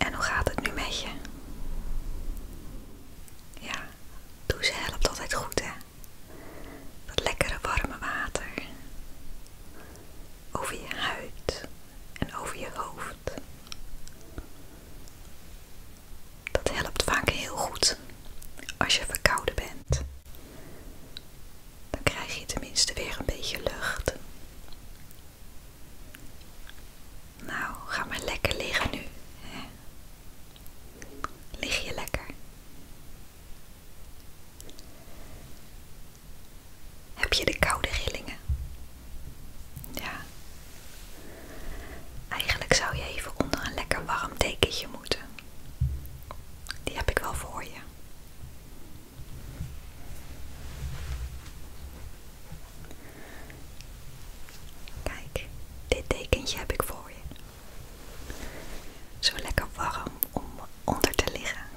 En hoe gaat het nu met je? Ja, ze helpt altijd goed, hè? Dat lekkere warme water over je huid en over je hoofd. Dat helpt vaak heel goed als je verkouden bent. Dan krijg je tenminste weer een beetje lucht. Nou, ga maar lekker liggen nu. Lig je lekker. Heb je de koude rillingen? Ja. Eigenlijk zou je even onder een lekker warm dekentje moeten. Die heb ik wel voor je. Kijk, dit dekentje heb ik voor je. Zo lekker warm om onder te liggen.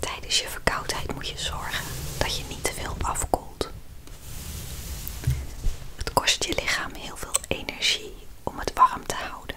Tijdens je verkoudheid moet je zorgen dat je niet te veel afkoelt. Het kost je lichaam heel veel energie om het warm te houden.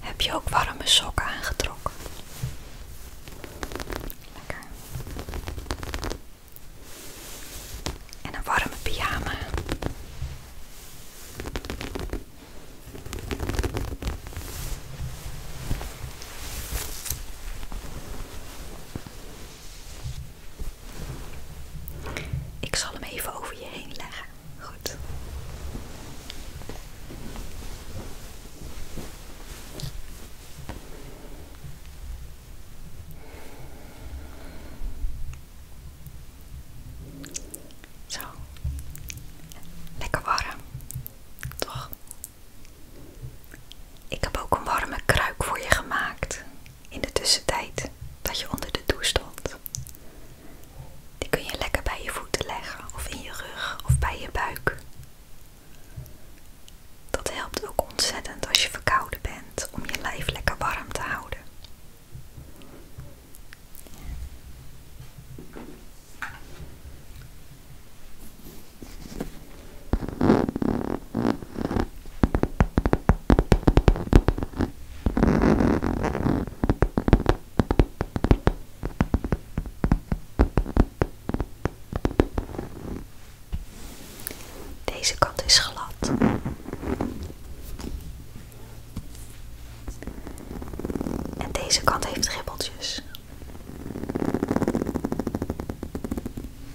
Heb je ook warme sokken aangetrokken? Lekker. En een warme pyjama. Ik zal hem even over je heen leggen. Goed. Zo. Lekker warm. Toch? Ik heb ook een warme kruik voor je gemaakt in de tussentijd dat je onder de douche stond. Die kun je lekker bij je voeten leggen of in je rug of bij je buik. Dat helpt ook ontzettend als je verkouden bent om je lijf lekker warm te houden. Deze kant is glad. En deze kant heeft ribbeltjes.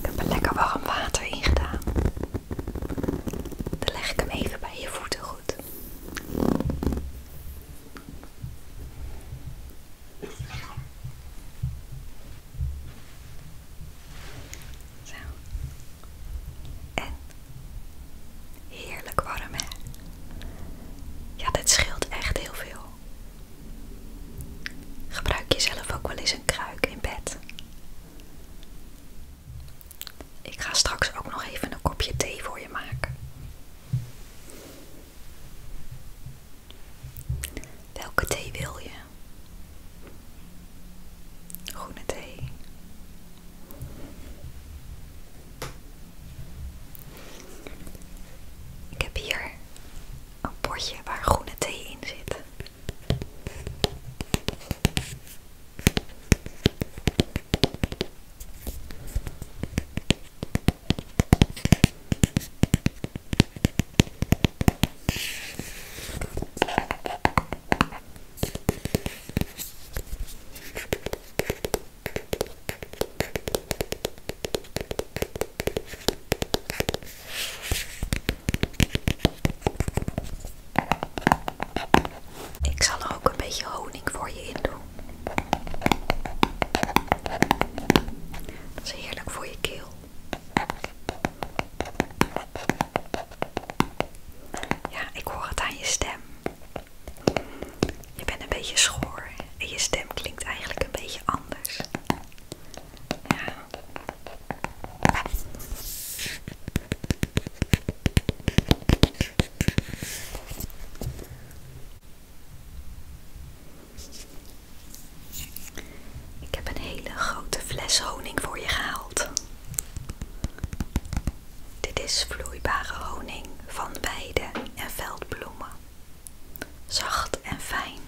Ik heb lekker warm water in gedaan. leg ik hem even bij je voeten goed. Zo. En heerlijk warm, hè? Ja, dit scheelt echt heel veel. Gebruik jezelf ook wel eens een kruik in bed. Ik ga straks ook nog even een kopje thee voor je maken. Welke thee wil je? Groene thee, ik heb hier een potje waar groene thee in zit. Ik zal er ook een beetje honing voor je in doen. Dat is heerlijk voor je keel. Ja, ik hoor het aan je stem. Je bent een beetje schoor en je stem klinkt eigenlijk een beetje anders. Ik heb een hele grote fles honing voor je gehaald. Dit is vloeibare honing van weiden en veldbloemen. Zacht en fijn.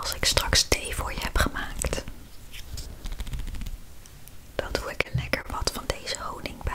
Als ik straks thee voor je heb gemaakt, dan doe ik er lekker wat van deze honing bij.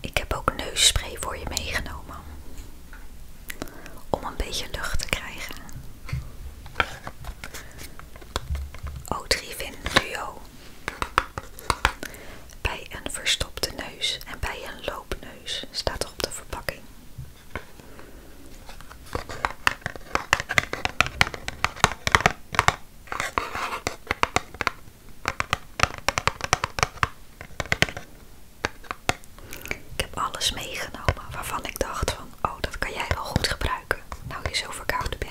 Ik heb ook neusspray voor je meegenomen. Om een beetje lucht te krijgen. o 3 Duo. Bij een verstopte neus en bij een loopneus staat er op de verpakking. Ik heb alles meegenomen waarvan ik dacht van, oh dat kan jij wel goed gebruiken, nou je zo verkoud bent.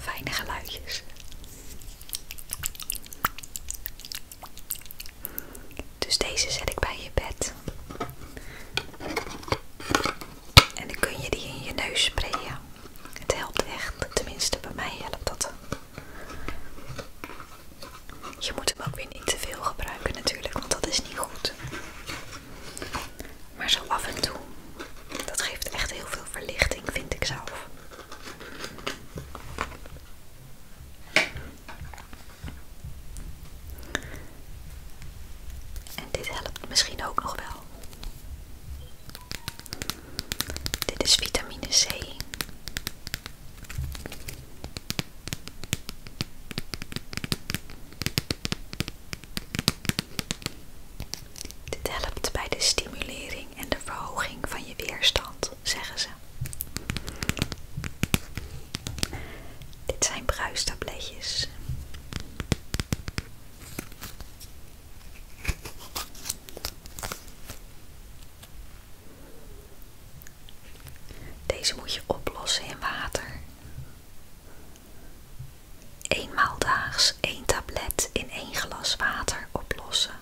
Fijne geluidjes. Dus deze zet ik bij je bed. En dan kun je die in je neus sprayen. Het helpt echt, tenminste bij mij helpt dat. Je moet hem ook weer niet te veel gebruiken natuurlijk, want dat is niet goed. Maar zo af en toe, dat geeft echt heel veel verlichting, vind ik zelf. En dit helpt misschien ook nog wel. Dit is vitamine C. Dit helpt bij de stimulering en de verhoging van je weerstand, zeggen ze. Dit zijn bruistabletjes. Deze moet je oplossen in water. Eenmaal daags één tablet in één glas water oplossen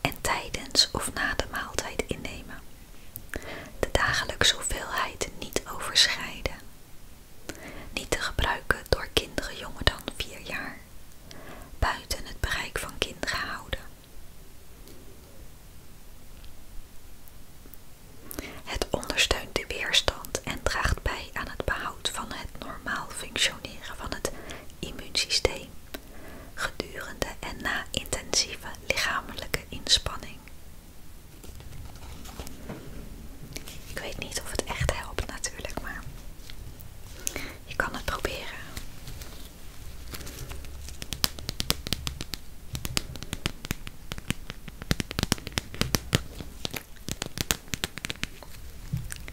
en tijdens of na de maaltijd innemen. De dagelijkse hoeveelheid niet overschrijden. Niet te gebruiken door kinderen jonger dan 4 jaar. Buiten het bereik van kinderen houden. Het ondersteunt de weerstand en draagt bij aan het behoud van het normaal functioneren van het immuunsysteem gedurende en na intensieve lichamelijke inspanning. Ik weet niet of het echt helpt natuurlijk, maar je kan het proberen.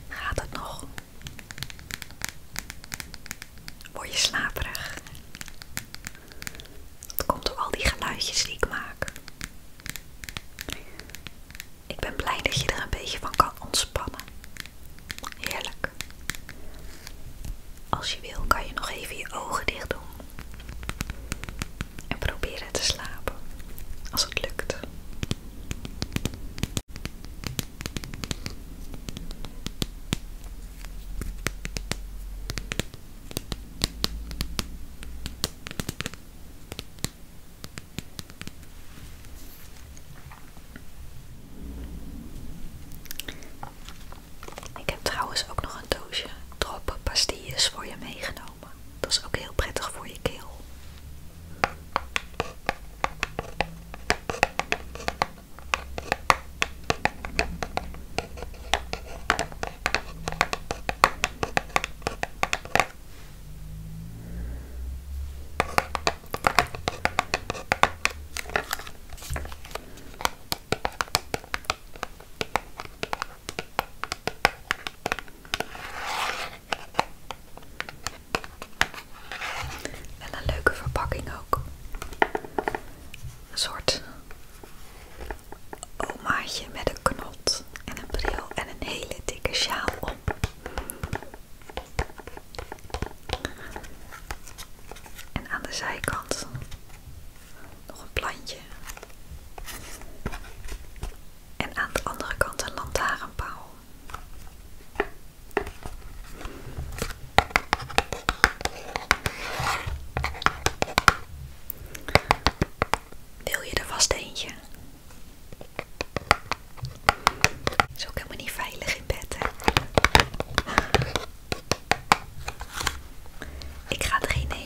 Gaat het nog? Word je slaperig? Dat komt door al die geluidjes die ik maak. Ik ben blij dat je er een beetje van kan ontspannen. Heerlijk. Als je wil kan je nog even je ogen dicht doen. En proberen te slapen. Als het lukt. Ik heb trouwens ook nog een doosje droppen pastilles voor je meegenomen. Dat is ook heel prettig voor je keel en een leuke verpakking ook. Een soort omaatje met een knot en een bril en een hele dikke sjaal om. En aan de zijkant nog een plantje. En aan de andere kant een lantaarnpaal. Wil je er vast eentje? Zo is ook helemaal niet veilig in bed, Ik ga drie nemen.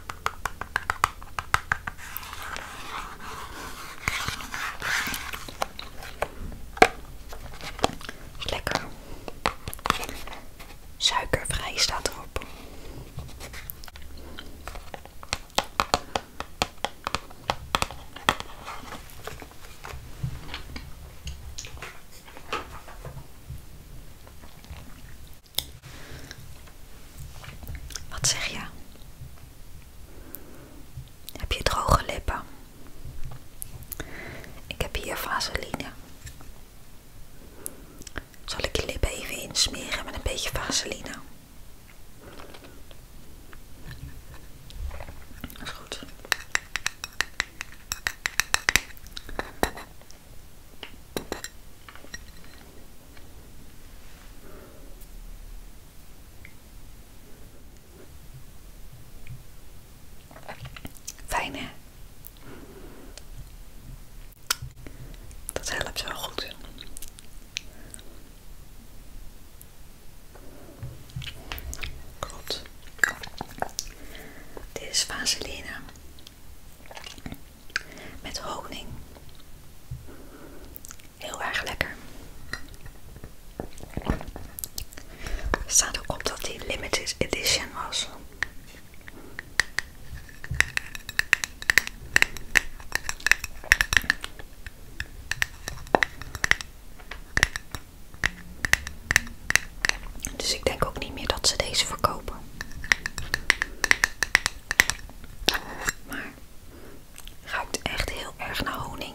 lekker. Suikervrij staat erop. Wat zeg je? Heb je droge lippen? Ik heb hier vaseline. Zal ik je lippen even insmeren met een beetje vaseline? Dat is goed fijne, Dat helpt zo goed. Klopt. Dit is vaseline. Met honing. Heel erg lekker. Er staat ook op dat die limited edition was. Dus ik denk ook niet meer dat ze deze verkopen. Maar ruikt echt heel erg naar honing.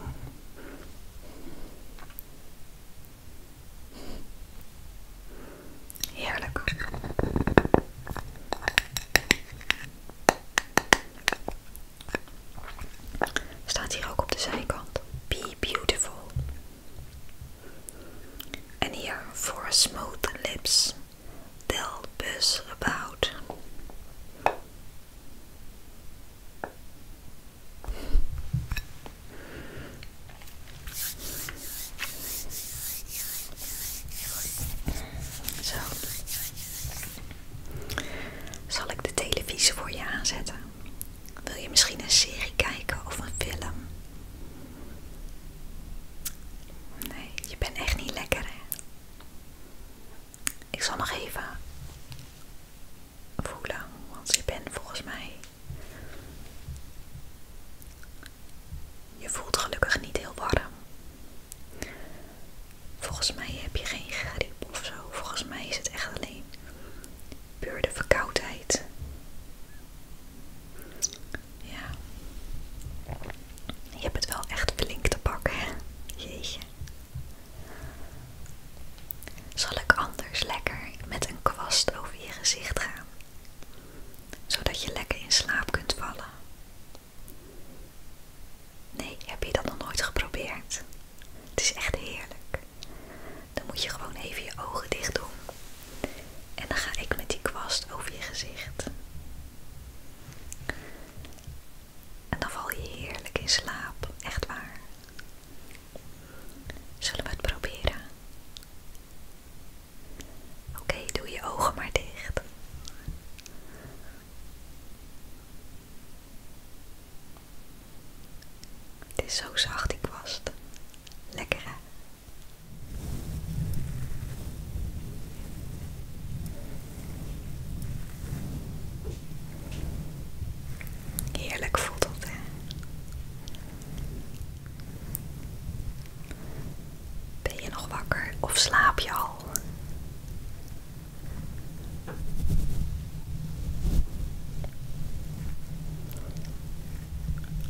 Heerlijk. Staat hier ook op de zijkant. Be beautiful. En hier voor smooth lips. Tel us about? Zal ik de televisie voor je aanzetten? Wil je misschien een serie kijken of een film? Nee, je bent echt niet lekker hè. Ik zal nog even voelen, want je bent volgens mij. Je voelt gelukkig niet heel warm. Volgens mij heb je geen griep of zo. Volgens mij is het echt alleen puur de verkoudheid. Ja. Je hebt het wel echt flink te pakken, hè? Jeetje. Zal ik anders lekker met een kwast over je gezicht gaan? Zodat je lekker in slaap kunt vallen. Nee, heb je dat nog nooit geprobeerd? Het is echt heerlijk. Dan moet je gewoon even je ogen dicht doen en dan ga ik met die kwast over je gezicht. En dan val je heerlijk in slaap, echt waar. Zullen we het proberen? Oké, doe je ogen maar dicht. Het is zo zacht die kwast. Lekker hè? Heerlijk voelt dat, hè? Ben je nog wakker of slaap je al?